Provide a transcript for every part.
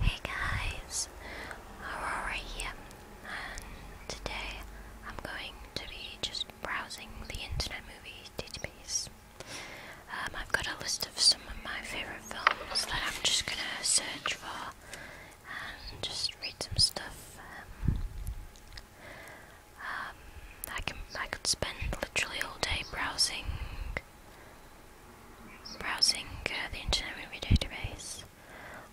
Hey guys, Aurora here, and today I'm going to be just browsing the Internet Movie Database. Um, I've got a list of some of my favourite films that I'm just gonna search for and just read some stuff. Um, um, I can I could spend literally all day browsing browsing uh, the internet movie database,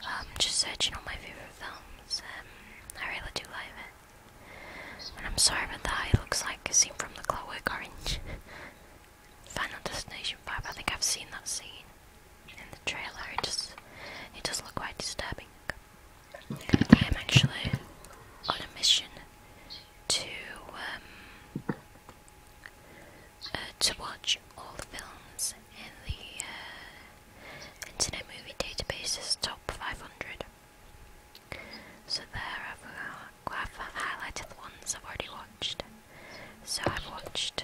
um, just searching all my favorite films. Um, I really do like it, and I'm sorry about that. It looks like a scene from The Clockwork Orange, Final Destination Five. I think I've seen that scene in the trailer. It just it does look quite disturbing. I am actually on a mission to um, uh, to watch all the films in the uh, Internet Movie Database's top 500. So there, I've, uh, i I've highlighted the ones I've already watched. So I've watched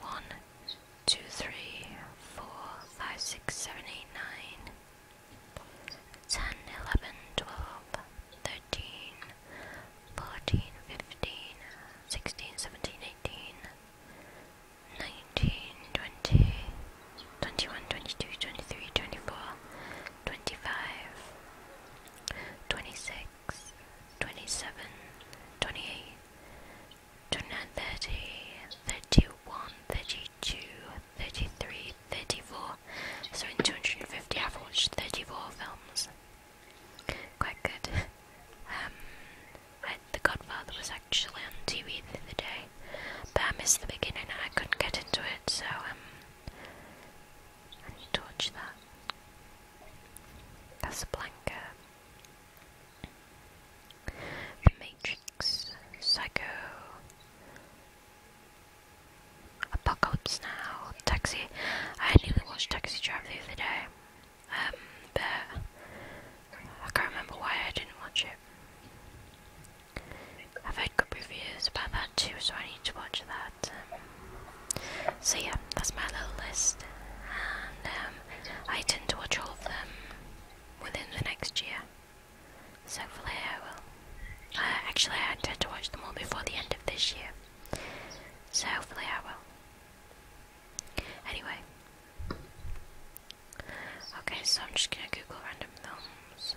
one, two, three, four, five, six, seven, eight, nine. 10, 11, 12, 13, 14, 15, 16, 17, 18, 19, 20, 21, 22, 23, 24, 25, 26, 27, 28, 29, 30, 31, 32, 33, 34, so in 250 I've watched 34 films. Quite good. Um, the Godfather was actually on TV the other day, but I missed the beginning and I couldn't get into it, so um, I need to watch that. Casablanca. The Matrix, Psycho, Apocalypse Now, Taxi. I nearly watched Taxi Drive the other day, um, I can't remember why I didn't watch it. I've heard good reviews about that too, so I need to watch that. Um, so yeah, that's my little list, and um, I intend to watch all of them within the next year. So hopefully I will actually, I intend to watch them all before the end of this year, so hopefully I will. Anyway, okay, so I'm just gonna Google random films.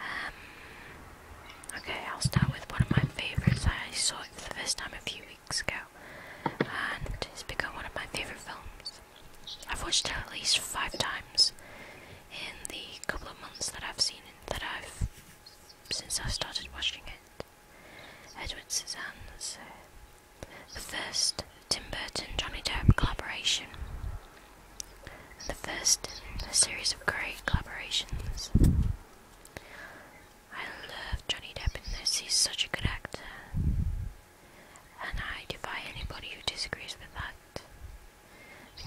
Um, okay, I'll start with one of my favorites. I saw for the first time a few weeks ago, and it's become one of my favorite films. I've watched it at least five times in the couple of months that I've seen it, that I've since i started watching it. Edward Scissorhands, uh, the first Tim Burton Johnny Depp collaboration, the first in a series of great collaborations. I love Johnny Depp in this, he's such a good actor. And I defy anybody who disagrees with that.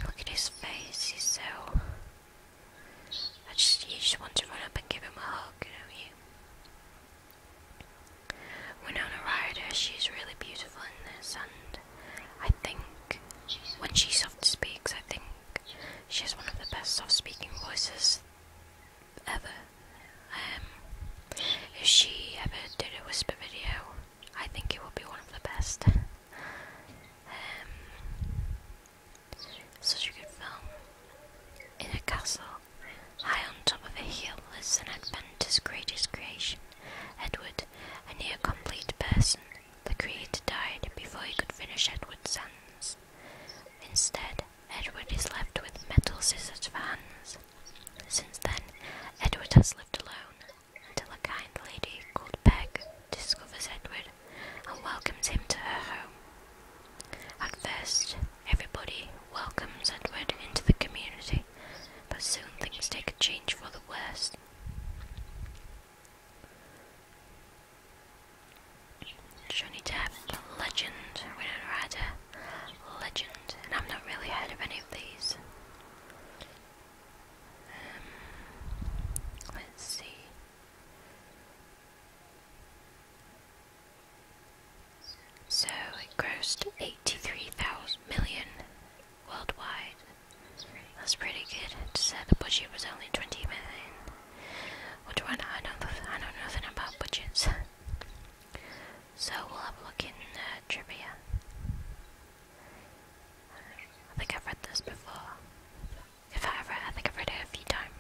Look at his face, he's so... I just, you just want to run up and give him a hug, you know you? Winona Ryder, she's really beautiful in this, and I think when she soft speaks, I think she has one of the best soft speaking voices ever. Um, if she ever did a whisper video, I think it will be one of the best. um, such a film. In a castle, high on top of a hill, lives an adventurous greatest creation, Edward, a near complete person. The creator died before he could finish Edward's hands. Instead, Edward is left with metal scissors for hands. Since then, Edward has lived alone, until a kind lady called Peg discovers Edward and welcomes him to her home. At first, everybody welcomes Edward into the community, but soon things take a change for the worse. Johnny Depp, legend, Winona legend, and I've not really heard of any of these let's see. So it grossed 83,000 million worldwide. That's pretty good. It said the budget was only 20 million. What do I know? I, know I know nothing about budgets. so we'll have a look in uh, trivia. I think I've read this before. If I ever, I think I've read it a few times.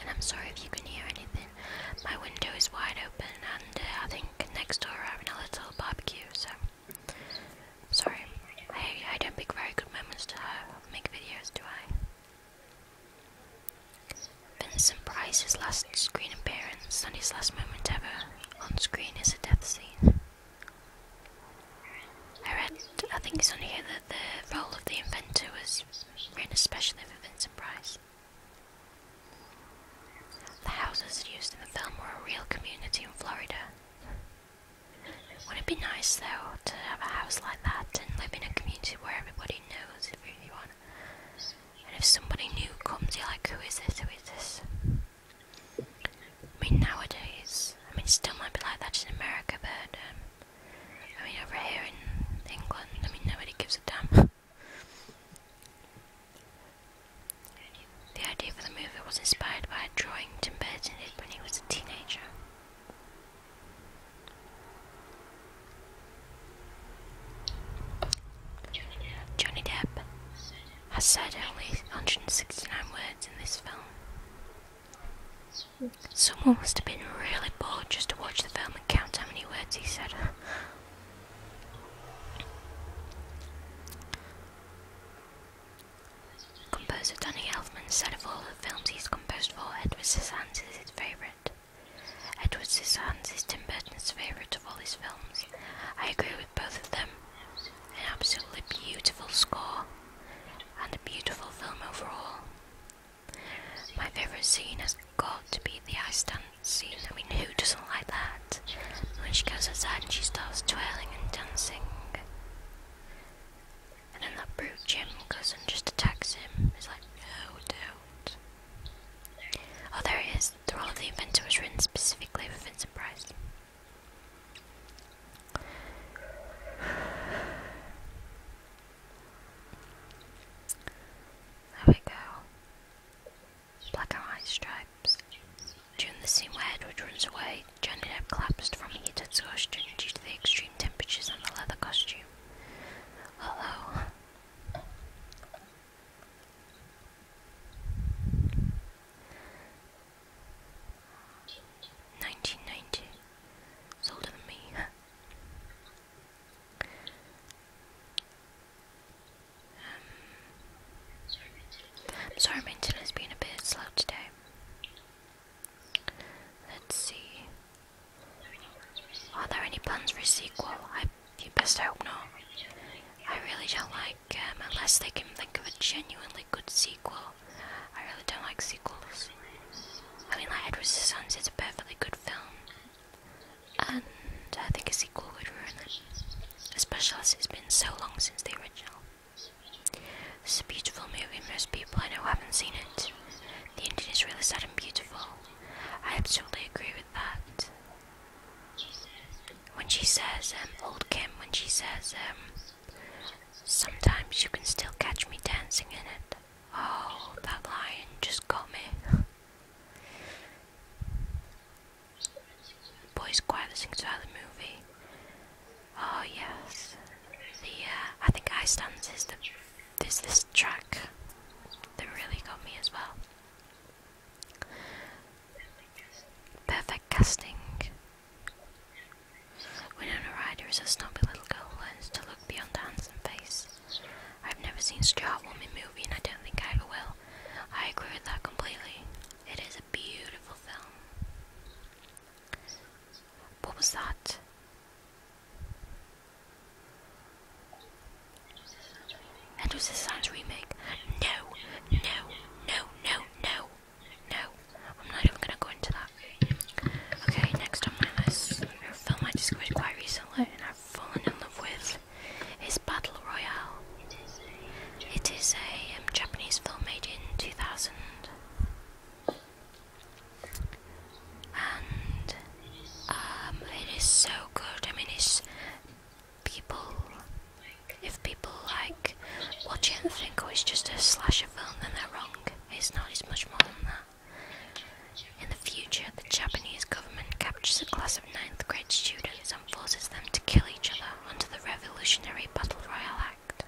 And I'm sorry if you can hear anything. My window is wide open, and uh, I think next door having a little barbecue, so Sorry, I, I don't pick very good moments to make videos, do I? Vincent Price's last screen appearance and his last moment ever on screen is a death scene. I read, I think it's on here that the role of the inventor was written especially for Vincent Price. The houses used in the film were a real community in Florida. Would not it be nice though to have a house like that and live in a community where everybody knows everyone? And if somebody new comes, you're like, who is this? Who is this? I mean, nowadays, I mean, it still might be like that in America, but um, I mean, over here in England, I mean, nobody gives a damn. The idea for the movie was inspired by a drawing Tim Burton did when he was a teenager. Johnny Johnny Depp has said only 169 words in this film. Someone must have been really bored just to watch the film and count how many words he said. Composer Danny Elfman said of all the films he's composed for, Edward Scissorhands is his favourite. Edward Scissorhands is Tim Burton's favourite of all his films. I agree with both of them. An absolutely beautiful score and a beautiful film overall. My favourite scene has got to be the ice dance scene. I mean, who doesn't like that? When she goes outside and she starts twirling and dancing. And then that brute Jim goes and just attacks him. He's like, no, do Oh, there it is. The role of the inventor was written specifically for Vincent Price. There we go. Black and white stripes. During the scene where Edward runs away, Johnny Depp collapsed from heat exhaustion due to the extreme temperatures and the leather costume. Hello. Nineteen ninety. It's older than me. um, sorry, my internet's been a bit slow today. Let's see. Are there any plans for a sequel? I you best I hope not. I really don't like um, unless they can think of a genuinely good sequel. I really don't like sequels. I mean, like Edward Sons is a perfectly good film, and I think a sequel would ruin it, especially as it's been so long since the original. It's a beautiful movie, most people I know haven't seen it. The ending is really sad and beautiful. I absolutely agree with that. When she says, um, old Kim, when she says, um, sometimes you can still catch me dancing in it. Oh, that lion just got me. Boys choir that sings throughout the movie. Oh yes, the uh, I think I stands is the is this track that really got me as well. Perfect casting. Winona Ryder is a snobby little girl who learns to look beyond a handsome face. I've never seen such a heartwarming movie, and I don't think I ever will. I agree with that completely. It is a beautiful film. What was that? Andrew Science remake. No, no, no, no, no, no. I'm not even gonna go into that. Okay, next on my list, a film I discovered quite recently and I've fallen in love with is Battle Royale. It is a um, Japanese film made in 2000 and um, it is so good. I mean, it's people. If people like watch it and think, oh, it's just a slasher film, then they're wrong. It's not. It's much more than that. In the future, the Japanese government captures a class of ninth grade students and forces them to kill each other under the Revolutionary Battle Royal Act.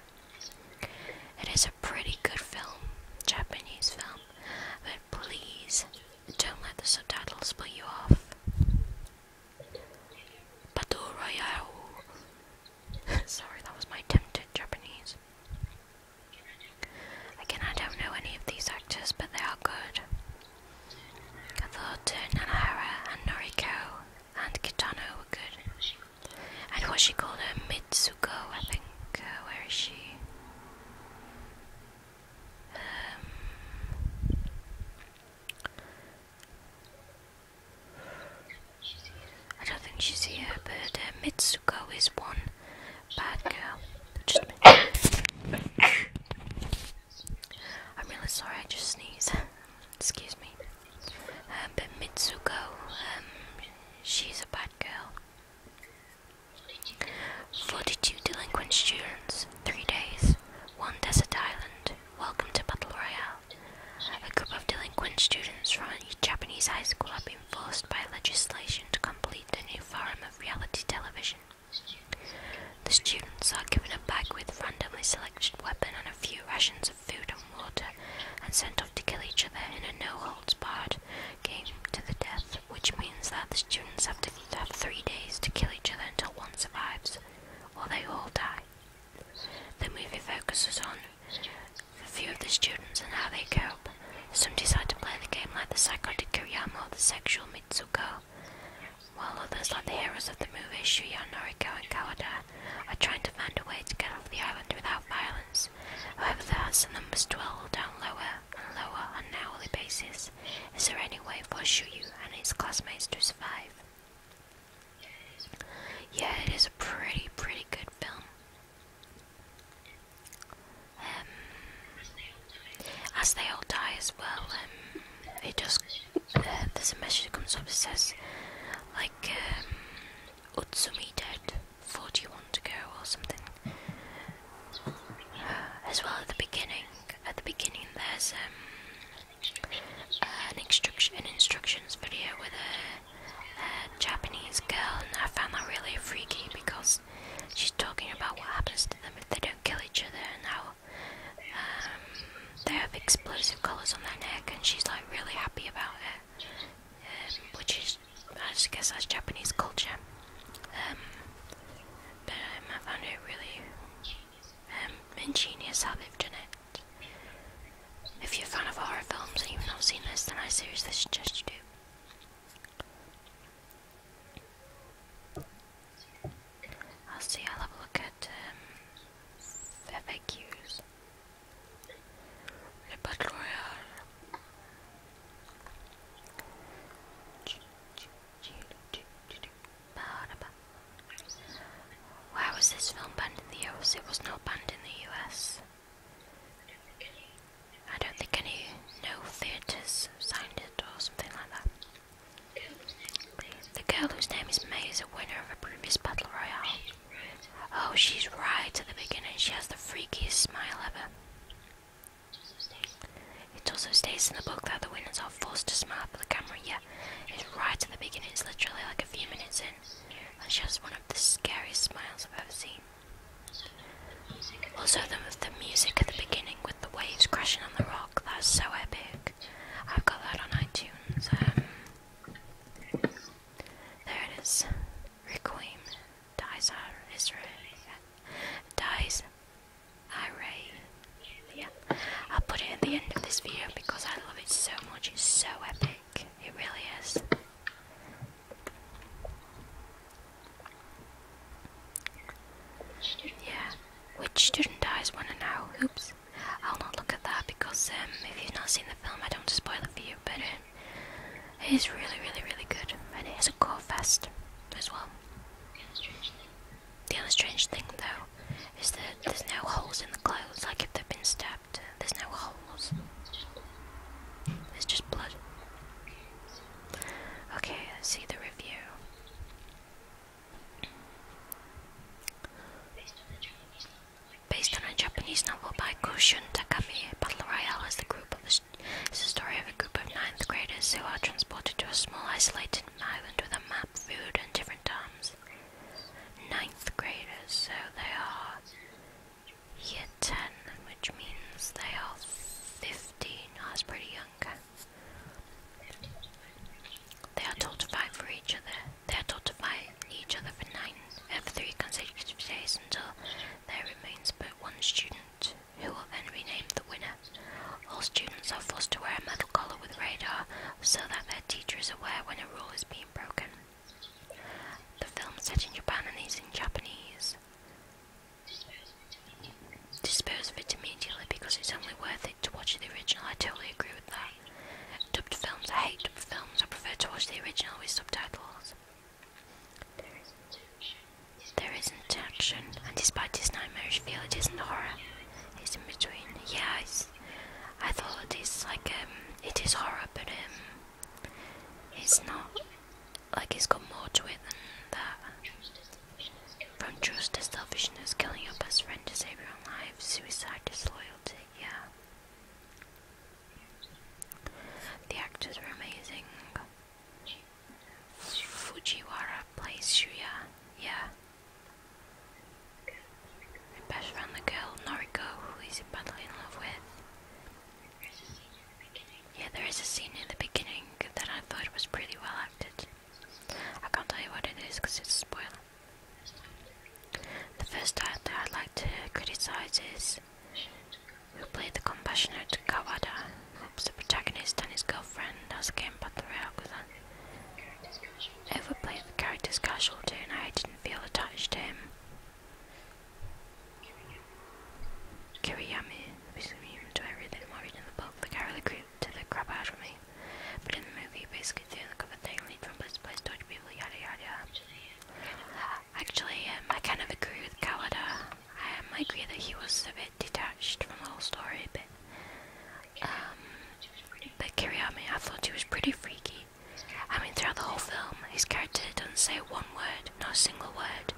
It is a pretty good film, Japanese film, but please don't let the subtitles put you off. Battle Royale. Sorry, that was my attempt Japanese. Again, I don't know any of these actors, but they are good. I thought uh, Nanahara and Noriko and Kitano were good and what she called a Mitsuko, I think. Uh, where is she? Um, I don't think she's here, but uh, Mitsuko is one bad girl. I'm really sorry, I just sneezed. Excuse me. Uh, but Mitsuko, um, she's a bad girl. 42 delinquent students, 3 days, 1 desert island, welcome to Battle Royale. A group of delinquent students from a Japanese high school have been forced by legislation to complete a new form of reality television. The students are given a bag with randomly selected weapon and a few ration food and water and sent off to kill each other in a no holds barred game to the death, which means that the students have to have three days to kill each other until one survives, or they all die. The movie focuses on a few of the students and how they cope. Some decide to play the game like the psychotic Kuriyama or the sexual Mitsuko, while others, like the heroes of the movie, Shuya Noriko and Kawada, I'm trying to find a way to get off the island without violence. However, the Hanson numbers dwindle down lower and lower on an hourly basis. Is there any way for Shu Yu and his classmates to survive? Yeah, it is a pretty, pretty good film. Um, as they all die as well, um, it just, uh, there's a message that comes up that says, like, um, Utsumi dead 41 to go or something. as well at the beginning, at the beginning there's um, an, instruction, an instructions video with a, Japanese girl and I found that really freaky because she's talking about what happens to them if they don't kill each other and how um, they have explosive collars on their neck and she's like really happy about it um, which is, I guess that's Japanese culture. Um, but um, I found it really um, ingenious how they've done it. If you're a fan of horror films and you've not seen this, then I seriously suggest you do. I'll see, I'll have a look at um, FAQs les Why was this film banned in the US? It was not banned in the US. I don't think any no theatres signed it or something like that. The girl whose name is May is a winner of a previous battle royale. Oh, she's right at the beginning. She has the freakiest smile ever. It also states in the book that the winners are forced to smile for the camera. Yeah, it's right at the beginning. It's literally like a few minutes in. And she has one of the scariest smiles I've ever seen. Also, the, the music at the beginning with the waves crashing on the rock. That's so epic. I've got that on iTunes. Um, there it is. Requiem. Dies Dies Iray. Yeah. I'll put it at the end of this video because I love it so much. It's so epic. It really is. Yeah. Which student dies wanna know? Oops. I'll not look at that because um, if you've not seen the film, I don't want spoil it for you. But uh, it is really, really, really good, and it is a gore fest as well. The other strange thing, though, is that there's no holes in the clothes. Like if they've been stabbed, there's no holes. It's just blood. Okay, let's see the review. Based on a Japanese novel by Kushun Takami, Battle Royale is the group of it's story of a group of ninth graders who are transported to a small isolated island with a map, food, and different times. Ninth graders, so they are year ten, which means they are fifteen. Oh, that's pretty young. They are told to fight for each other. They are taught to fight each other for nine for three consecutive days until there remains but one student, who will then rename the winner. All students are forced to wear a metal collar with radar so that their teacher is aware when a rule is being broken. The film is set in Japan and is in Japanese. Dispose of it immediately because it's only worth it to watch the original. I totally agree with that. Dubbed films. I hate dubbed films. I prefer to watch the original with subtitles. There isn't action. And despite this nightmarish feel, it isn't horror. It's in between. Yeah, I thought it is like, um, it is horror, but um, it's not. Like it's got more to it than that. From trust to selfishness, killing your best friend to save your own life, suicide, disloyalty, yeah. The actors were amazing. Fujiwara plays Shuya, yeah. My best friend, the girl Noriko, who is badly in love with. Yeah, there is a scene in the beginning that I thought was pretty well acted. I can't tell you what it is because it's a spoiler. The first actor I'd like to criticize is who played the compassionate Kawada, who's the protagonist and his girlfriend as a game but the Reakusan. Overplayed the character's casualty and I didn't feel attached to him. Kiriyami, who's immune to everything more in the book, the character grew to the crap out of me. But in the movie, basically Actually, um, I kind of agree with Calada. Um, I agree that he was a bit detached from the whole story, but um, but Kiriyami, I thought he was pretty freaky. I mean, throughout the whole film, his character doesn't say one word, not a single word.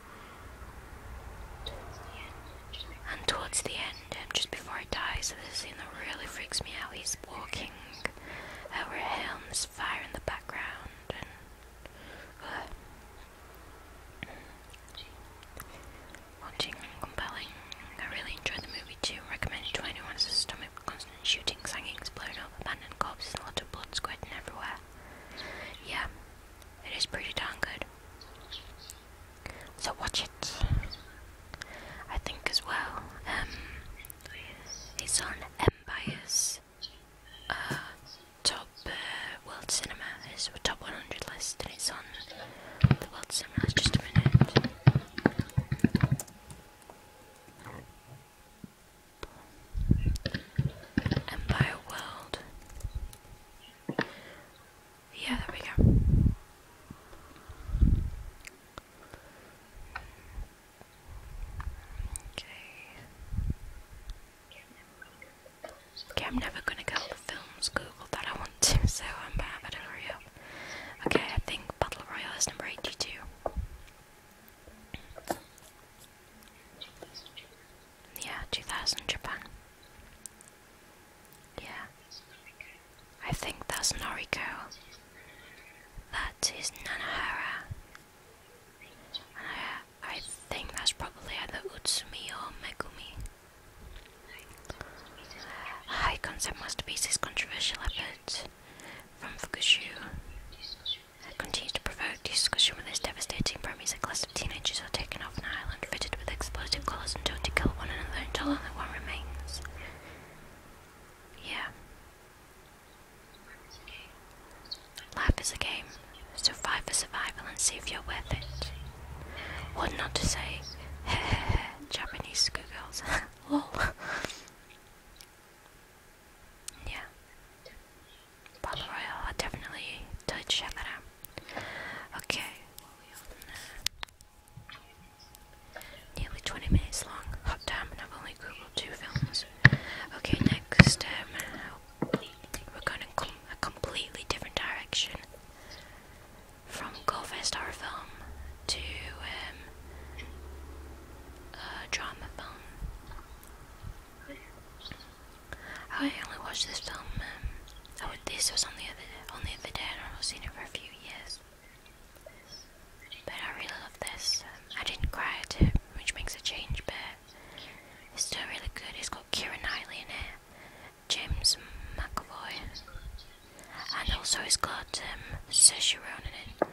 And towards the end, just before he dies, this scene that really freaks me out, he's walking like our helms fire in the background and uh, compelling. I really enjoyed the movie too. Recommended to anyone as a stomach constant shooting, singings, blown up, abandoned corpses, a lot of blood squirting everywhere. Yeah, it is pretty darn good. So watch it. I think as well. Um, it's on Empire's uh, top uh, world cinema, it's the top 100 list, and it's on the world cinema. Just a minute. Empire World. Yeah, there we go. Okay. Okay, I'm never gonna get all the films googled that I want to, so I'm bad, I Okay, I think Battle Royale is number 82. Yeah, 2000 Japan. Yeah. I think that's Noriko. That is Nanahara. I think that's probably either Utsumi or Megumi. high concept masterpiece is controversial effort from Fukushima It continues to provoke discussion with this devastating premise. A class of teenagers are taken off an island fitted with explosive colours and told to kill one another until only one remains. Yeah. Life is a game. Survive for survival and see if you're worth it. What not to say? Japanese schoolgirls. Lol. yeah. Battle Royale, I definitely did check that out. Okay. Nearly 20 minutes long. damn, I've only googled two films. Okay, next, um, we're going to com a completely different direction. From Goldfest horror film to um, drama film. Oh, I only watched this film. Um, oh, this was on the other the day, I've not seen it for a few years. But I really love this. Um, I didn't cry at which makes a change, but it's still really good. It's got Kira Knightley in it, James McAvoy, and also it's got um, Saoirse Ronan in it.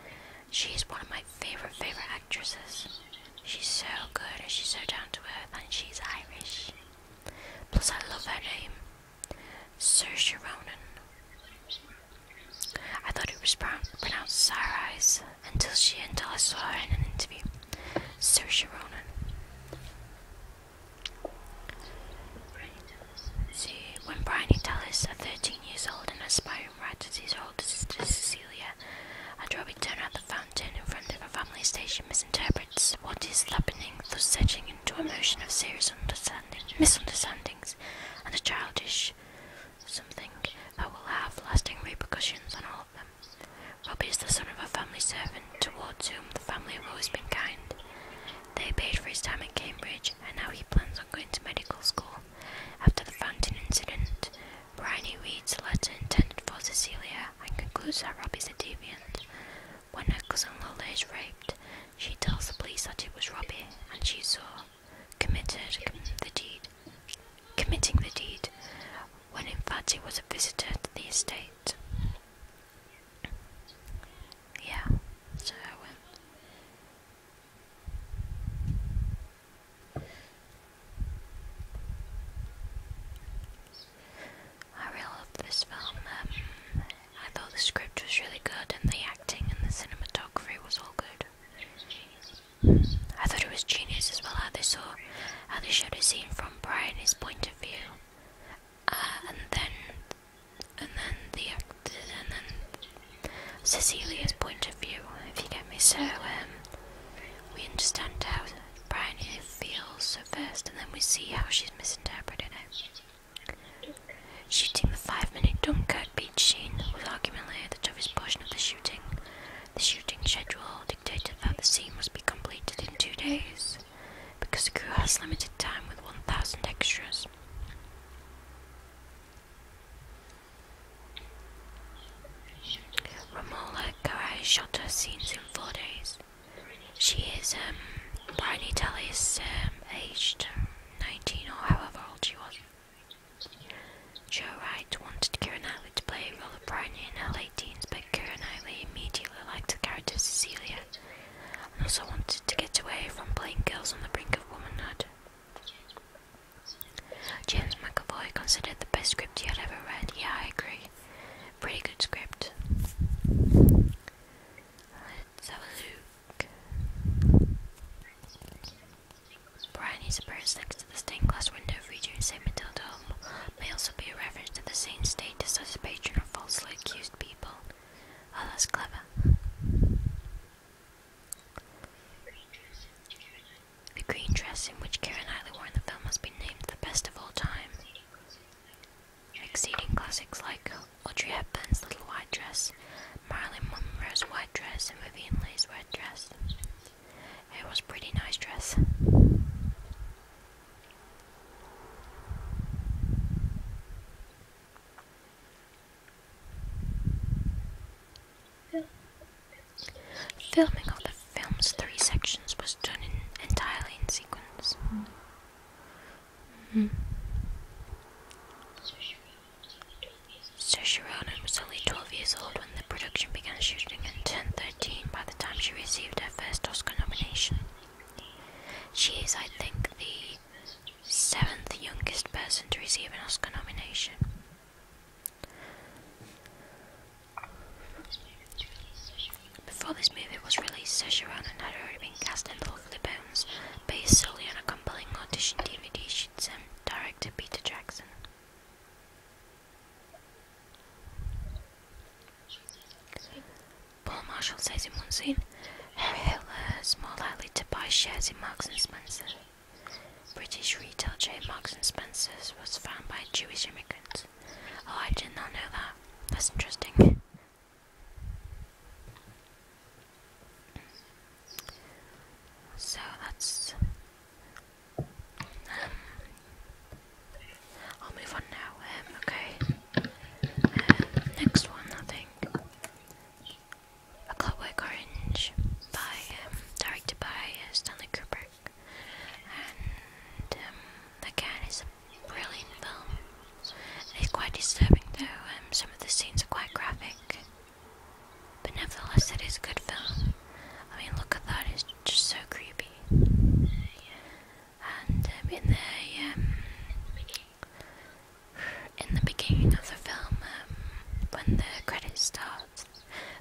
She's one of my favourite, favourite actresses. She's so good and she's so down to earth and she's Irish. Plus I love her name, Saoirse Ronan. I thought it was pronounced Sarah Eyes until she and Dallas saw her in an interview. Saoirse Sharon. See, when Bryony Dallas, at 13 years old and aspiring writer to his older sister Cecilia, and Robbie Turner at the fountain in front of her family station misinterprets what is happening, thus setting into a motion of serious misunderstandings and a childish something that will have lasting repercussions on all of them. Robbie is the son of a family servant towards whom the family have always been kind. They paid for his time at Cambridge, and now he plans on going to medical school. After the fountain incident, Bryony reads a letter intended for Cecilia and concludes that Robbie is a deviant. When her cousin Lola is raped, she tells the police that it was Robbie, and she saw committed the deed, committing the deed, when in fact it was a visitor to the estate. Yeah, so. Um, I really loved this film. Um, I thought the script was really good, and the acting and the cinematography was all good. I thought it was genius as well how they saw how they showed a scene from Brian's point of view, uh, and then and then the and then Cecilia's point of view. If you get me, so um, we understand how Brian feels at first, and then we see how she's misinterpreting it. Shooting the five-minute Dunkirk beach scene was arguably the toughest portion of the shooting. The shooting schedule dictated that the scene must be completed in two days, because the crew has limited time with 1,000 extras. Romola Garai shot her scenes in four days. She is um, Bryony Telly's um, aged 19 or however old she was. Joe Wright wanted Kearney to play a role of Brownie in her late teens, but Kearney immediately liked the character Cecilia and also wanted to get away from playing girls on the brink of womanhood. James McAvoy considered the best script he had ever read. Yeah, I agree. Pretty good script. Let's have a look. Bryony's appearance next to the stained glass window featuring St. Matilda Home may also be a reference to the saint's status as a patron of falsely accused people. Oh, that's clever. The green dress in which Karen Knightley wore in the film has been named the best of all time, exceeding classics like Audrey Hepburn's Little White Dress Marilyn Monroe's white dress and Vivian Lee's red dress. It was a pretty nice dress. Filming of the film's three sections was done entirely in sequence. Mm-hmm. Mm-hmm. Sir Sharonan was only 12 years old when the production began shooting in 2013. by the time she received her first Oscar nomination. She is, I think, the seventh youngest person to receive an Oscar nomination. Before this movie was released, Saoirse Ronan had already been cast in Lovely Bones, based solely on a compelling audition DVD um, director Peter Jackson. Paul Marshall says in one scene, Harry Hitler is more likely to buy shares in Marks and Spencer. British retail chain Marks and Spencer's was founded by Jewish immigrants. Oh, I did not know that. That's interesting. So that's. Um, I'll move on now. Um, okay. Um, next one, I think. A Clockwork Orange by um, directed by uh, Stanley Kubrick, and um, again, it's a brilliant film. It's quite disturbing though. Um, some of the scenes are quite graphic. But nevertheless, it is a good film. I mean, look at that, it's just so creepy. And um, in the um, in the beginning of the film, um, when the credits start,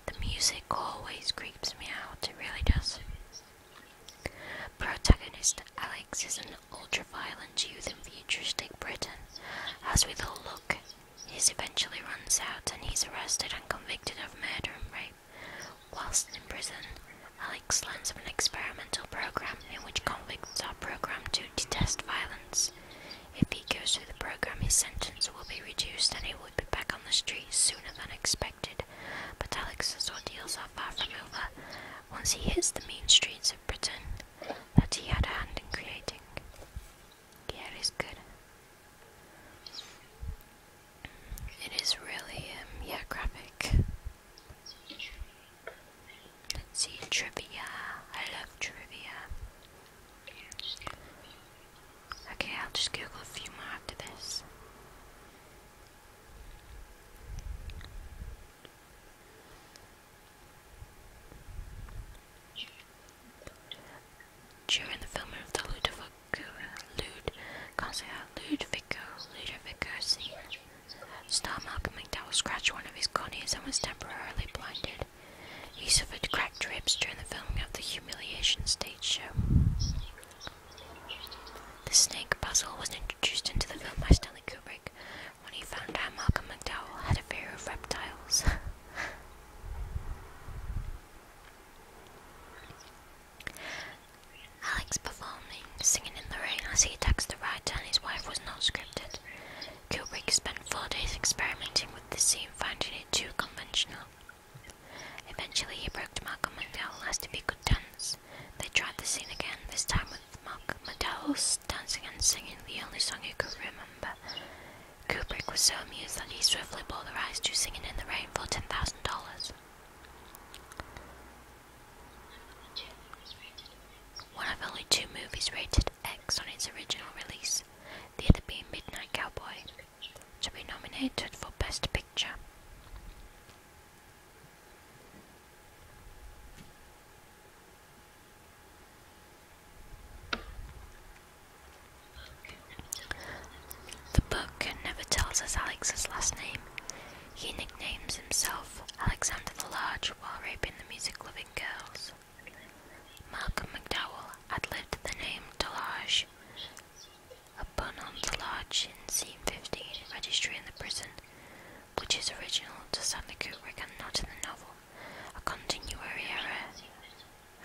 the music always creeps me out. It really does. Protagonist Alex is an ultra violent youth in futuristic Britain. As with all luck, his eventually runs out and he's arrested and convicted of murder and rape. Whilst in prison, Alex learns of an experimental program in which convicts are programmed to detest violence. If he goes through the program, his sentence will be reduced and he will be back on the streets sooner than expected. But Alex's ordeals are far from over. Once he hits the main streets Britain that he had a hand in creating. Yeah, it is good. It is really, um, yeah, graphic. Let's see, trivia. I love trivia. Okay, I'll just Google a few more after this. During the filming of the Ludovico, Lud, Ludovico, Ludovico scene, star Malcolm McDowell scratched one of his corneas and was temporarily blinded. He suffered cracked ribs during the filming of the humiliation stage show. The snake puzzle was introduced into the film by Stanley Kubrick, when he found out Malcolm McDowell had a fear of reptiles. Alex performed Singing in the Rain as he attacks the writer and his wife was not scripted. Kubrick spent four days experimenting with the scene, finding it too conventional. Eventually, he broke to Malcolm McDowell as to be good could They tried the scene again, this time with Malcolm McDowell's dancing and singing the only song he could remember. Kubrick was so amused that he swiftly bought the rights to Singing in the Rain for ten thousand dollars. One of only two movies rated X on its original release, the other being Midnight Cowboy, to be nominated for Best Picture. The book never tells us Alex's last name. He nicknames himself Alexander the Large while raping the music loving girls. Malcolm McDowell had the name Delage upon on the Large in Scene 15 Registry in the Prison, which is original to Stanley Kubrick and not in the novel. A continuary error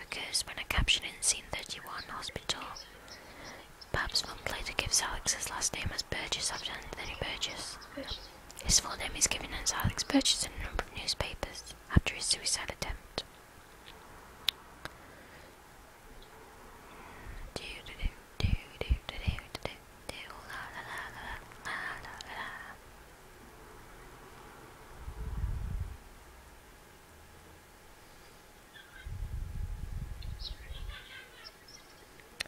occurs when a caption in Scene 31 Hospital. Perhaps one player gives Alex's last name as Burgess after Anthony Burgess. His full name is given as Alex Burgess in a number of newspapers after his suicide attempt.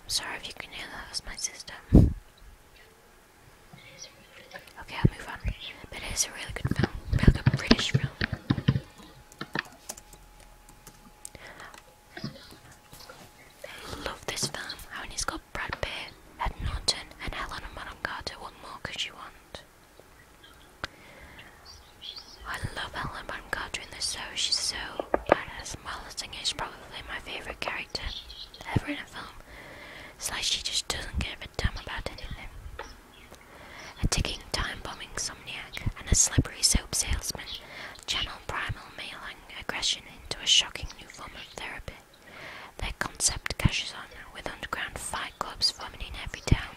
I'm sorry if you can hear that, was my system. Okay, I'll move on. But it is a really good film. Really British film. love this film. How many's got Brad Pitt, Ed Norton, and Helena Bonham Carter. What more could you want? I love Helen Mirren Carter in this show. She's so badass. Marla Singer is probably my favorite character ever in a film. It's like she just doesn't give a damn about anything. A ticking time bombing somniac and a slippery soap salesman channel primal male aggression into a shocking new form of therapy. Their concept cashes on with underground fight clubs forming in every town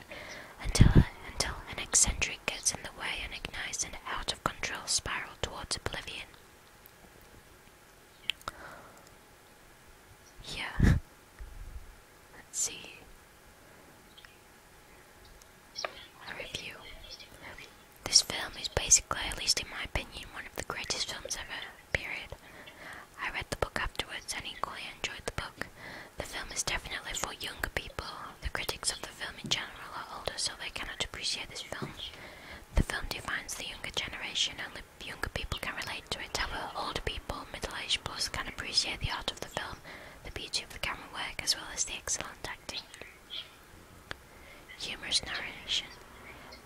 until, until an eccentric gets in the way and ignites an out of control spiral towards oblivion. Yeah. Let's see. A review. This film is basically, at least in my opinion, one of the greatest films ever, period. I read the book afterwards and equally enjoyed the book. The film is definitely for younger people. The critics of the film in general are older, so they cannot appreciate this film. The film defines the younger generation, only younger people can relate to it. However, older people, middle aged plus, can appreciate the art of the film, the beauty of the camera work, as well as the excellent acting. Humorous narration.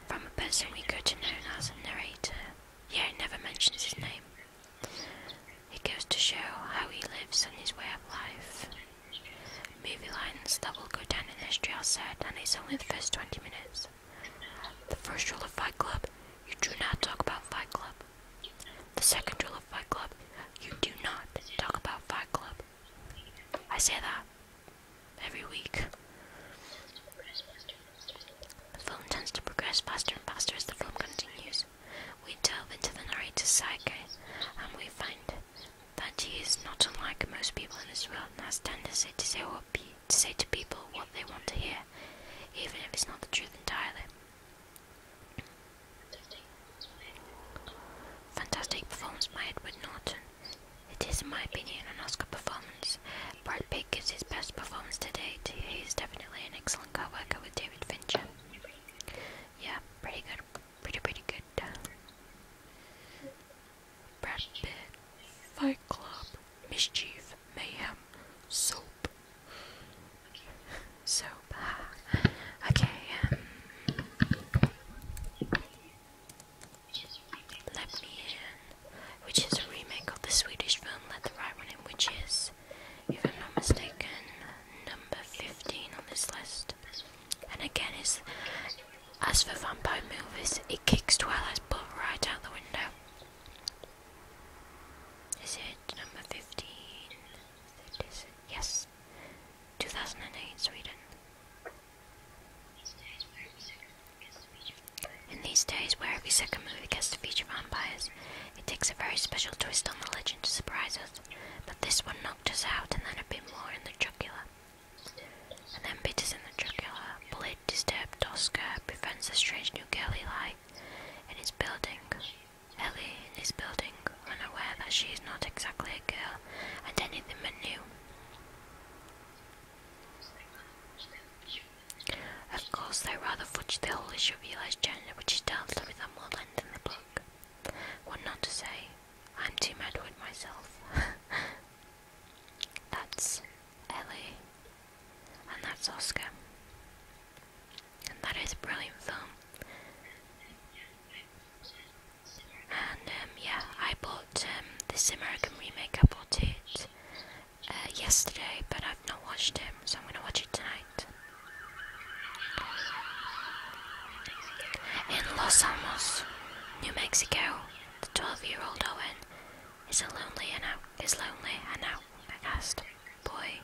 From a person we go to know as a narrator, yet it never mentions his name. It goes to show how he lives and his way of life. Movie lines that will go down in history are said, and it's only the first 20 minutes. The first rule of Fight Club you do not talk about Fight Club. The second rule of Fight Club you do not talk about Fight Club. I say that every week. The film tends to progress faster and faster as the film continues. We delve into the narrator's psyche, and we find that he is not unlike most people in this world and has tendency to say, what to, say to people what they want to hear, even if it's not the truth entirely. Fantastic performance by Edward Norton, it is, in my opinion, an Oscar performance. Brad Pitt gives his best performance to date. He is definitely an excellent co-worker with David Fincher. Yeah, pretty good. Pretty, pretty good. Brad Pitt, Fight Club, Mischief, Mayhem, Soap. Soap. Okay. Um, let Me In, which is a remake of the Swedish film Let the Right One In, which is, if I'm not mistaken, number 15 on this list. And again, it's, as for vampire movies, it kicks Twilight's butt right out the window. Is it number 15? Yes. 2008 Sweden. In these days, where every second movie gets to feature vampires, it takes a very special twist on the legend to surprise us. But this one knocked us out, and then a bit more in the jugular. And then bitters in the jugular. Blade disturbed Oscar presents a strange new girl he in his building. Ellie in his building, unaware that she is not exactly a girl and anything but new. Of course, they rather fudged the whole issue of Eli's journey, which is dealt with at more length in the book. What not to say, I'm too mad with myself. that's Ellie, and that's Oscar. And that is a brilliant film. And um, yeah, I bought bought um, this American remake. I bought it uh, yesterday, but I've not watched it, so I'm gonna watch it tonight. In Los Alamos, New Mexico, the 12-year-old Owen is a lonely and out is lonely and outcast boy.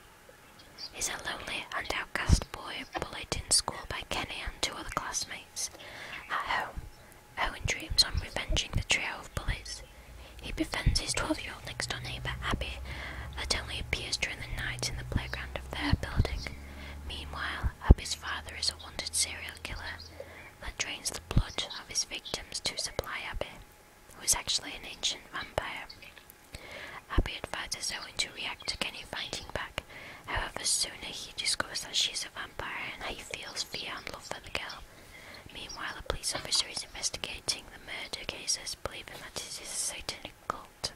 Is a lonely and outcast boy bullied in school by Kenny and two other classmates. At home, Owen dreams of revenging the trio of bullies. He befriends his 12 year old next door neighbour, Abby, that only appears during the night in the playground of their building. Meanwhile, Abby's father is a wanted serial killer that drains the blood of his victims to supply Abby, who is actually an ancient vampire. Abby advises Owen to react to Kenny fighting back, however, sooner he discovers that she's a vampire and he feels fear and love for the girl. Meanwhile, a police officer is investigating the murder cases, believing that it is a satanic cult.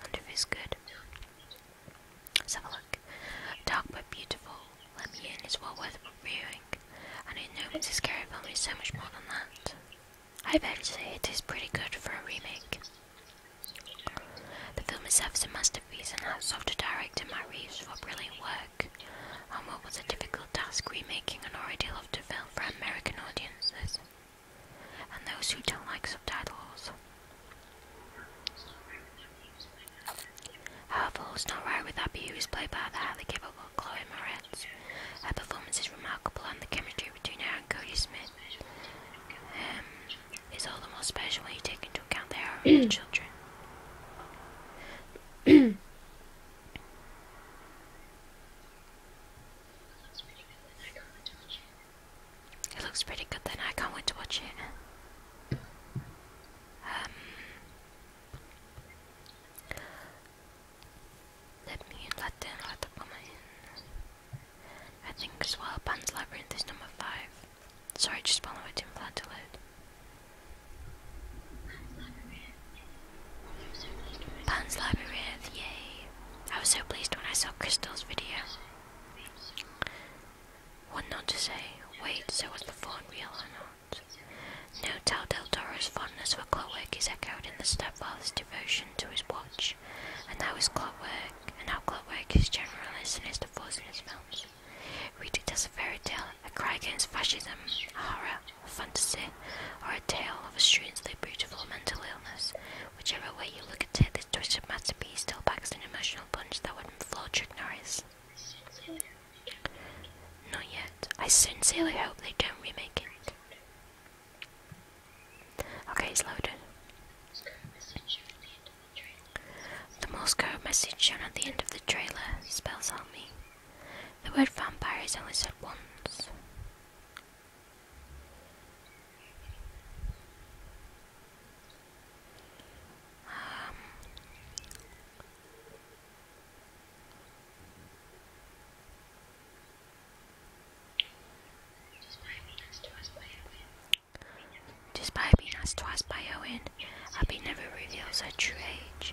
Wonder if good. have a look. Dark but beautiful, Lemmy is well worth viewing, and in no means scary film is so much more than that. I've heard say it is pretty good for a remake. The film itself is a masterpiece and hats off to director Matt Reeves for brilliant work on what was a difficult task remaking an of loved film for American audiences and those who don't like subtitles. However, not right with Abby, who is played by the highly capable Chloe Moretz. Her performance is remarkable, and the chemistry between her and Cody Smith um, it's all the more special when you take into account they are real children. It looks pretty good then, I can't wait to watch it. Um, let me let them, let the woman in. I think as Labyrinth is number 5. Sorry, полновать импланты лают. Pan's Labyrinth, yay! I was so pleased when I saw Crystal's video. What not to say? Wait, so was the fawn real or not? No, tell Del Toro's fondness for clockwork is echoed in the stepfather's devotion to his watch, and now his clockwork, and how clockwork is generalist in his the films. Read it as a fairy tale, a cry against fascism, a horror, a fantasy, or a tale of a strangely beautiful mental illness. Whichever way you look at it, this twisted masterpiece still packs an emotional punch that would floor Chuck Norris. Not yet. I sincerely hope they don't remake it. Okay, it's loaded. The Morse code message shown at the end of the trailer spells out me. The word vampire is only said once. Um, Despite being asked twice by Owen, Abby never reveals her true age.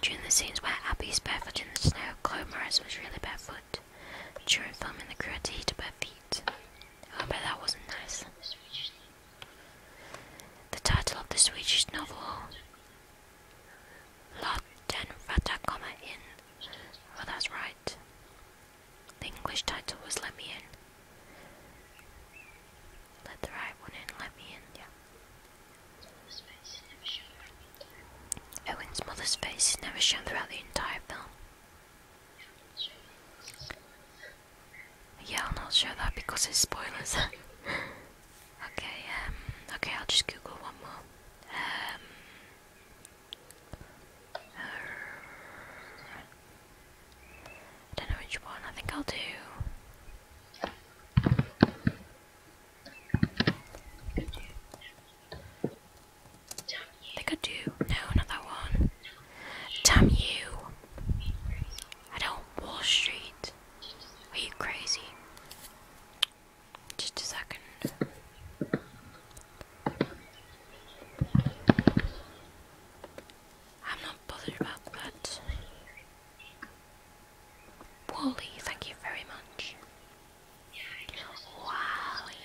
During the scenes where Abby is barefoot in the snow, Claire Morris was really barefoot. During filming, the crew had to heat up her feet. Oh, but that wasn't nice. The title of the Swedish novel, Lot den Vata in. Well, that's right. The English title was Let Me In. Let the right one in, let me in, yeah. Owen's mother's face is never shown throughout the entire film. Yeah, i am not show that because it's spoilers. okay, um, okay, I'll just Google one more. Um, I don't know which one. I think I'll do. I think I do. No, not that one. Damn you! I don't Wall Street. Are you crazy? Just a second. I'm not bothered about that. Wally, thank you very much. Wally.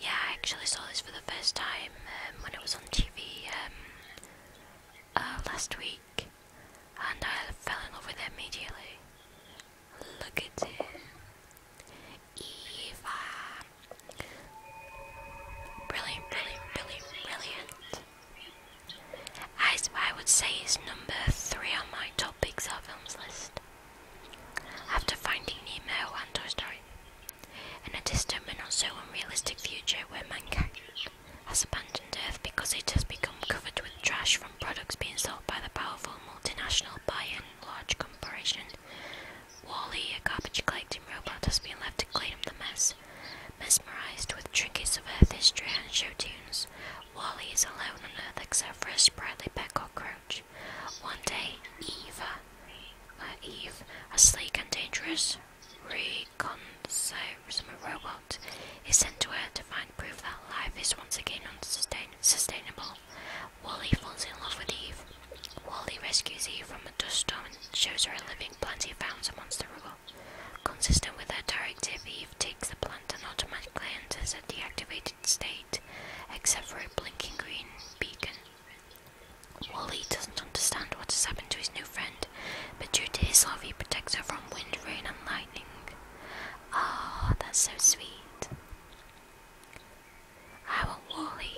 Yeah, I actually saw this for the first time um, when it was on TV um, uh, last week, and I fell in love with it immediately. Look at it. Eva. Brilliant, brilliant, brilliant, brilliant. I, I would say it's number three on my top Pixar films list. After Finding Nemo and Toy Story. In a distant but not so unrealistic future where mankind has abandoned Earth because it has become covered with trash from products being sold by the powerful multinational buy and large corporation Wally, a garbage collecting robot, has been left to clean up the mess. Mesmerized with trinkets of Earth history and show tunes, Wally is alone on Earth except for a sprightly cockroach. One day, Eva, Eve, uh, a sleek and dangerous reconciliation robot, is sent to Earth to find proof that life is once again unsustainable. Wally falls in love with Eve. Wally rescues Eve from a dust storm and shows her a living plant he found amongst the rubble. Consistent with her directive, Eve takes the plant and automatically enters a deactivated state, except for a blinking green beacon. Wally doesn't understand what has happened to his new friend, but due to his love, he protects her from wind, rain, and lightning. Ah, that's so sweet. I want Wally.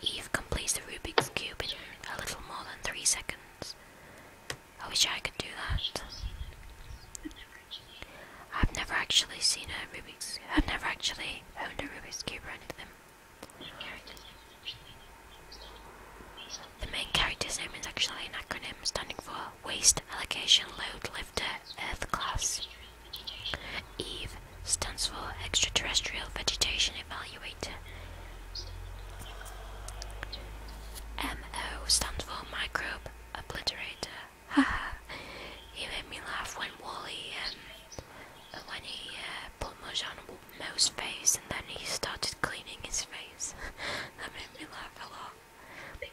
Eve completes the Rubik's Cube in a little more than three seconds. I wish I could do that. I've never actually seen a Rubik's I've never actually owned a Rubik's Cube or anything. The main character's name is actually an acronym standing for Waste Allocation Load Lifter Earth Class. EVE stands for Extraterrestrial Vegetation Evaluator. MO stands for Microbe Obliterator. Haha, he made me laugh when Wally, and um, when he uh, put on Mo's face and then he started cleaning his face. that made me laugh a lot.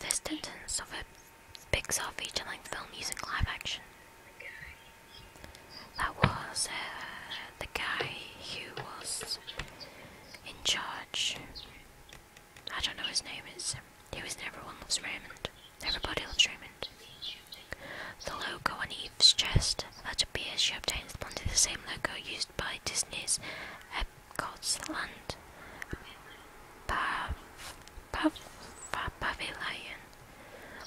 The sentence of a Pixar feature-length film using live action. That was uh, the guy who was in charge. I don't know his name. It's was in Everyone Loves Raymond. Everybody loves Raymond. The logo on Eve's chest that appears she obtains under the same logo used by Disney's Epcot's Land. Pav Pavilion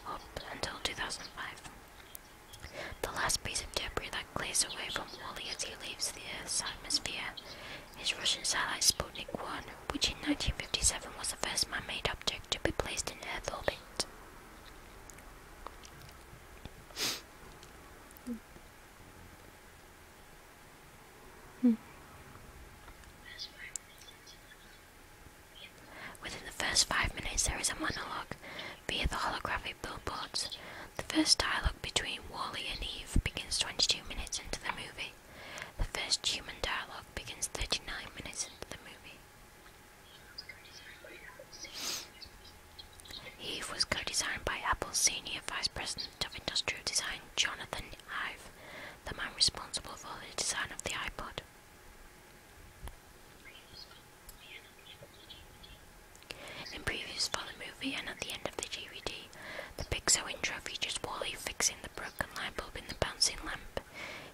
up until 2005. The last piece of debris that clears away from Wally as he leaves the Earth's atmosphere is Russian satellite Sputnik 1, which in 1957 was the first man made object to be placed in Earth orbit. Within the first five minutes, there is a monologue via the holographic billboards. The first dialogue between Wally and Eve begins 22 minutes into the movie. The first human dialogue begins 39 minutes into the movie. Eve was co designed by Apple's Senior Vice President of Industrial Design, Jonathan Ive, the man responsible for the design of the iPod. In previews for the and at the end of the DVD, the Pixo intro features Wally fixing the broken light bulb in the bouncing lamp.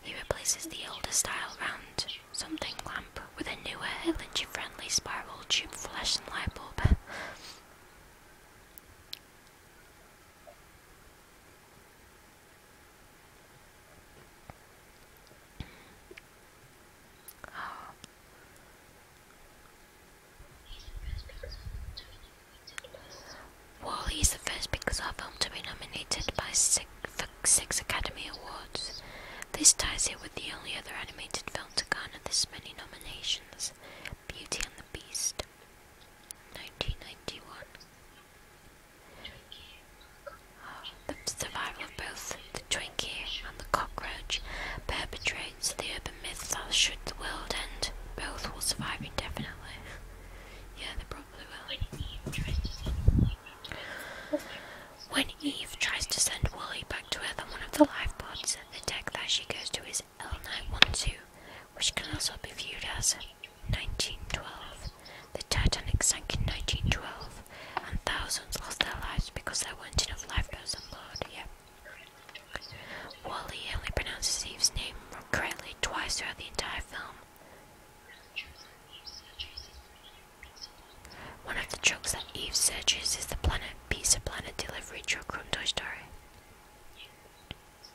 He replaces the older style round something lamp with a newer, LNG friendly spiral tube flashing light bulb. Wally is the first Pixar film to be nominated by six, six Academy Awards. This ties it with the only other animated film to garner this many nominations. Beauty and the Beast, 1991. the survival both the Twinkie and the cockroach perpetrates the urban myth that should the world end, both will survive indefinitely. Yeah, they probably will. When Eve tries to send Wooly back to Earth on one of the lifeboats, the deck that she goes to is L912, which can also be viewed as 1912. The Titanic sank in 1912, and thousands lost their lives because there weren't enough lifeboats on board. Yep. Wally only pronounces Eve's name correctly twice throughout the entire film. One of the trucks that Eve searches is the Planet of Planet delivery truck from Toy Story.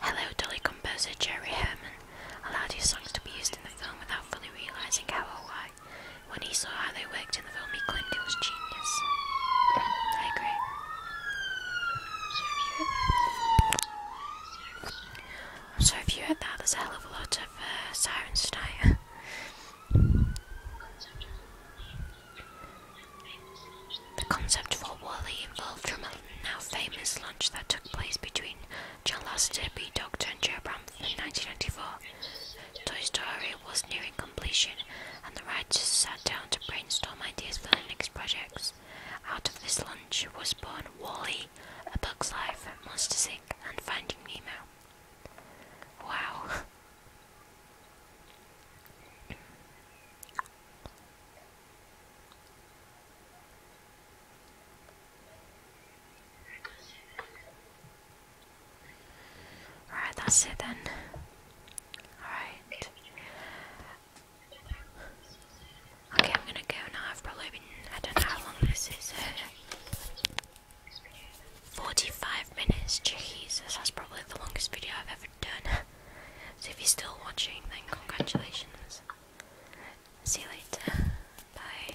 Hello Dolly composer Jerry Herman allowed his songs to be used in the film without fully realising how or why. When he saw how they worked in the film, he claimed it was genius. I agree. So if you heard that, there's a hell of a lot of uh, sirens tonight. the concept for Wally involved dramatic now famous lunch that took place between John Lasseter, B. Doctor, and Joe Bramford in 1994. Toy Story was nearing completion, and the writers sat down to brainstorm ideas for the next projects. Out of this lunch was born Wally, A Bug's Life, Monsters Inc., and Finding Nemo. Wow. Alright, that's it then. Alright. Okay, I'm gonna go now. I've probably been, I don't know how long this is. 45 minutes, Jesus, that's probably the longest video I've ever done. so if you're still watching, then congratulations. See you later. Bye.